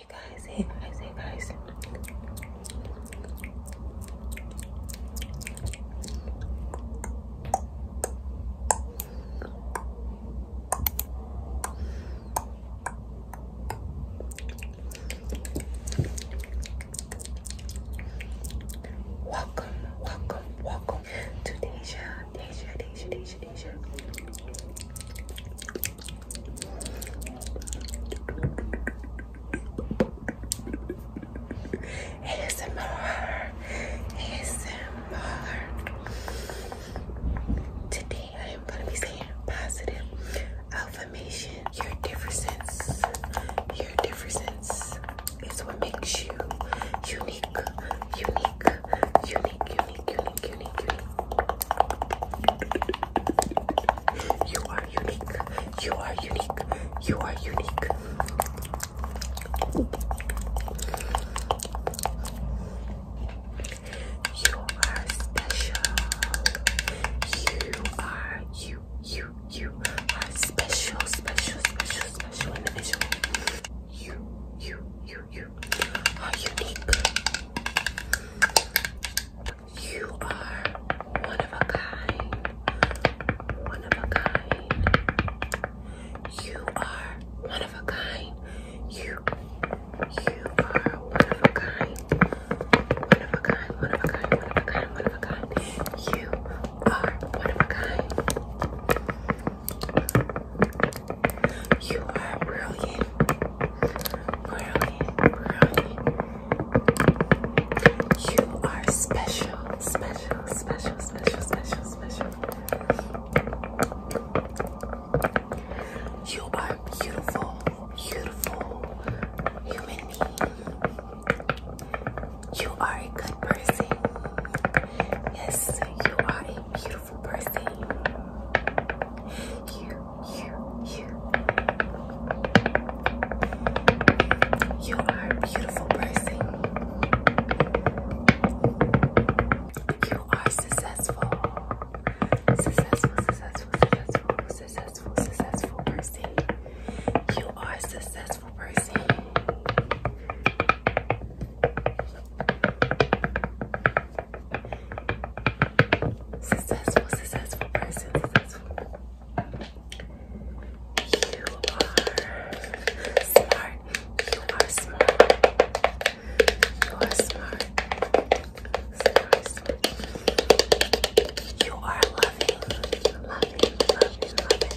You guys, hey guys, hey guys. Welcome, welcome, welcome to Deja, Deja, Deja, Deja, Deja. ASMR, Today I am going to be saying positive affirmation. Your differences, your differences, it's what makes you unique, unique, unique, unique, unique, unique, unique. You are unique. You are unique. You are unique. You are special. You are you. You you, you are special, special, special, special individual. You, you, you, you are unique. You are one of a kind. One of a kind. You are one of a kind. You, you are one of a kind. One of a kind, one of a kind, one of a kind, one of a kind. You are one of a kind. You are brilliant. Brilliant, brilliant. You are special, special, special, special, special, special. You are beautiful, beautiful human being. You are a good person. Yes, you are a beautiful person. You, you, you. You are a beautiful person. You are successful. Successful, successful, successful, successful, successful person. You are successful successful Successful, person, successful. You are smart. You are smart. You are smart. You are loving, loving, loving, loving.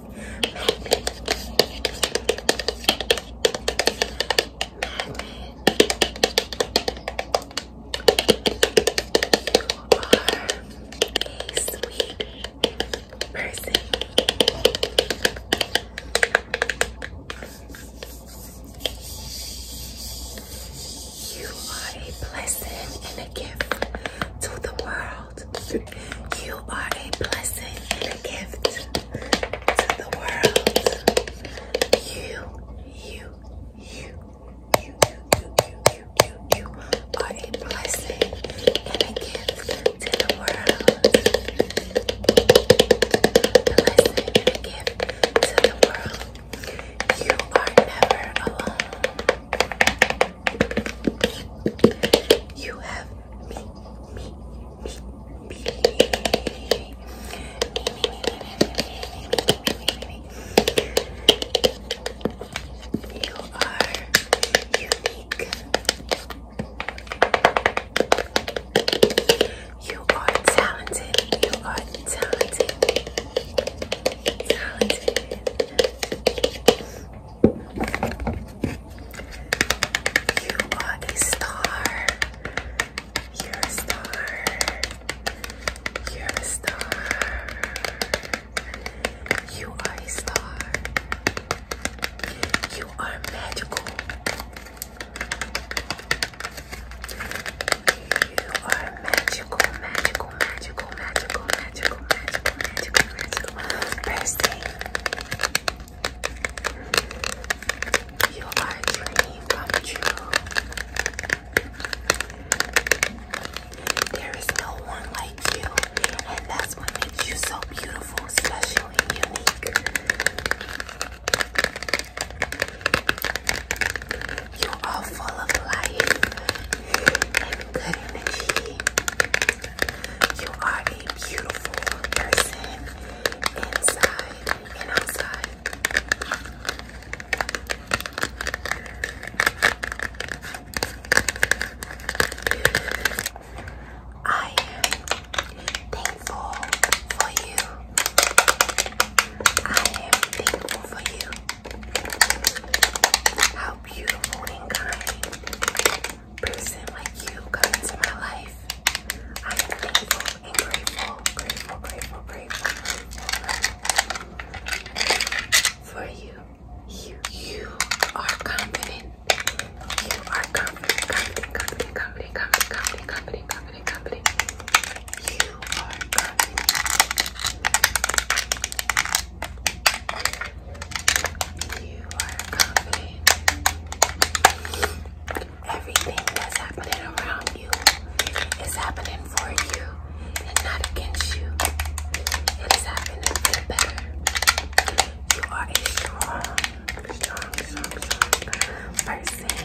a sweet person. You are a blessing and a gift to the world. You are a blessing and a gift to the world. You, you, you, you, you, you, you, you, you are a blessing and a gift to the world. Blessing and a gift to the world. You are never alone. You have me, me, me, me, You are unique. You are talented. You are talented. Talented. You are a star. You're a star. You're a star. You are a star. You are magical. You are magical, magical, magical, magical, magical, magical, magical, magical, magical, birthday. You are a dream come true. There is no one like you, and that's what makes you so beautiful, special, and unique. You are full of life and good energy. You are a beautiful person inside and outside. I am thankful for you. I am thankful for you. How beautiful and kind person like you come into my life. I am thankful grateful, grateful, grateful, grateful, grateful for you. You, you are confident. You are confident, confident, confident, confident, confident, confident, confident, confident. You are confident. You are confident. Everything that's happening around you is happening for you and not against you. It is happening for the better. You are a strong, strong, strong, strong person.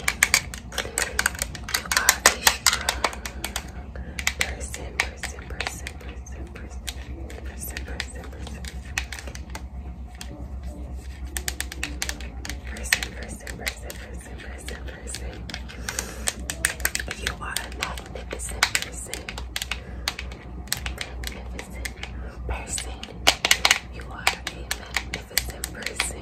You are a strong person, person, super, super, super, super, super, super, super, super, super, super, super, person. you are a magnificent magnificent person, you are a magnificent person.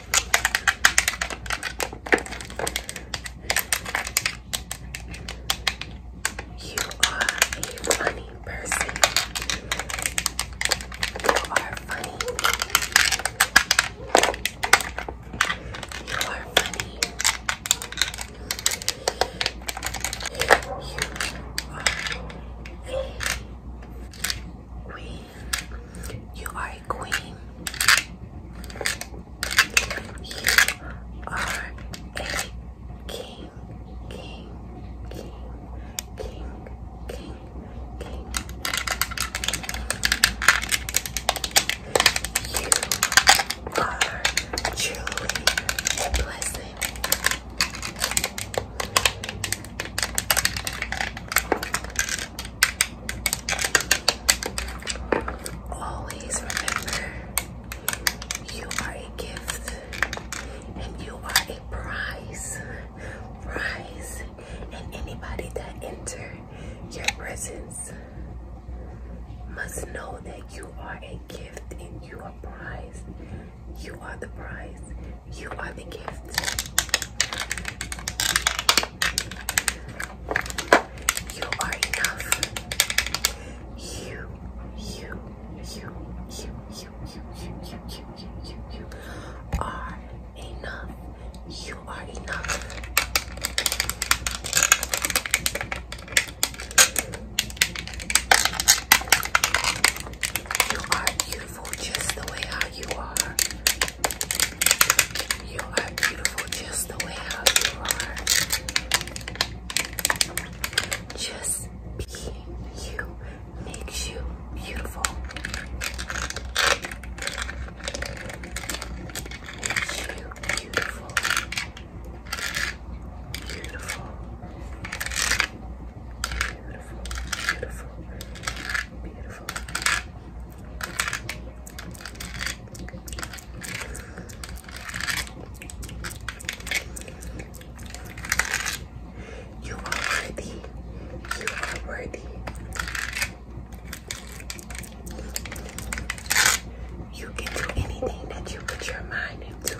You are a funny person. You are funny. You are funny. You are a queen. You are a queen. You are a king, king, king, king, king, king. You are truly a blessing. You Always remember you are a gift and you are a prize. Prize. And anybody that enters your presence must know that you are a gift and you are a prize. You are the prize. You are the gift. You are enough. You, you, you, you, you, you, you, you, you, you, you, are enough. You are enough. You are beautiful just the way how you are. You are beautiful just the way you are. Just being you makes you beautiful. beautiful. Beautiful. Beautiful. Beautiful. Beautiful. You are worthy. You are worthy. You can do anything that you put your mind into.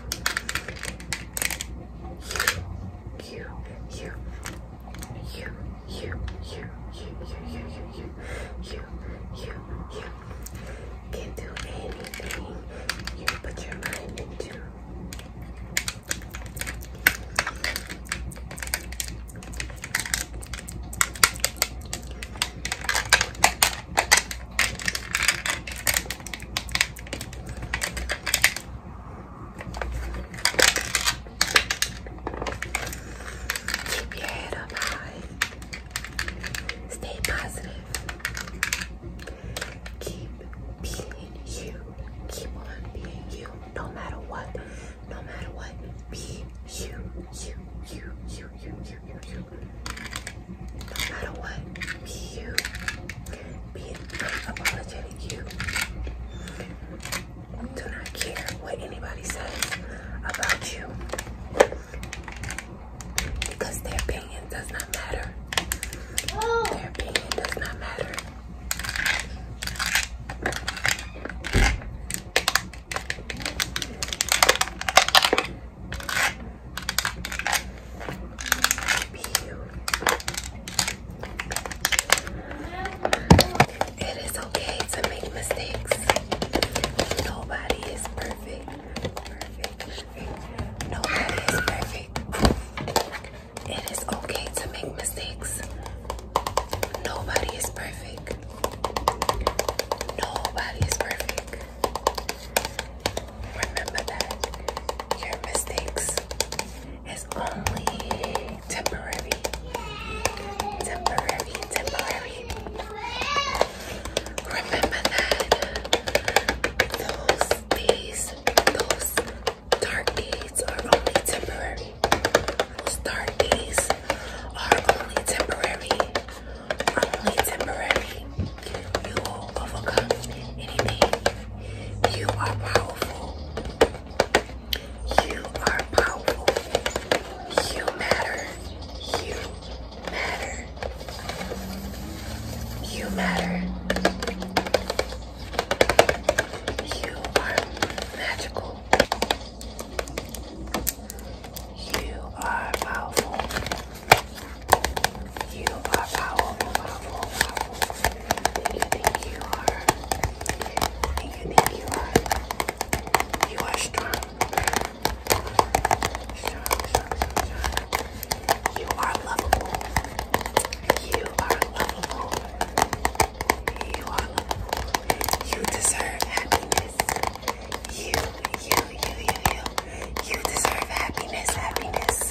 You, you, you, you, you, you, you, you, you, you, you, you, you can do anything you put your mind into. Keep your head up high. Stay positive. Keep being you. Keep on being you. No matter what. No matter what. Be you. You. You. You. You. You. You. you. No matter what. Be you. Be an unapologetic you do not care what anybody says about you because their opinion does not matter. Their opinion does not matter. Be you it's okay to make mistakes. Nobody is perfect. perfect. Nobody is perfect. It is okay to make mistakes. Nobody is perfect. Nobody is perfect. Remember that your mistakes is only temporary. Temporary, temporary. Remember that those days, those dark days are only temporary. Those dark days are only temporary. Only temporary. You will overcome anything. You are powerful. You are powerful. You matter. You matter. You matter. You are magical. You are powerful. You are powerful, powerful, powerful you think you are. And you think you are. You are strong. You are lovable. You are lovable. You are lovable. You deserve happiness. You, you, you, you, you. You deserve happiness, happiness.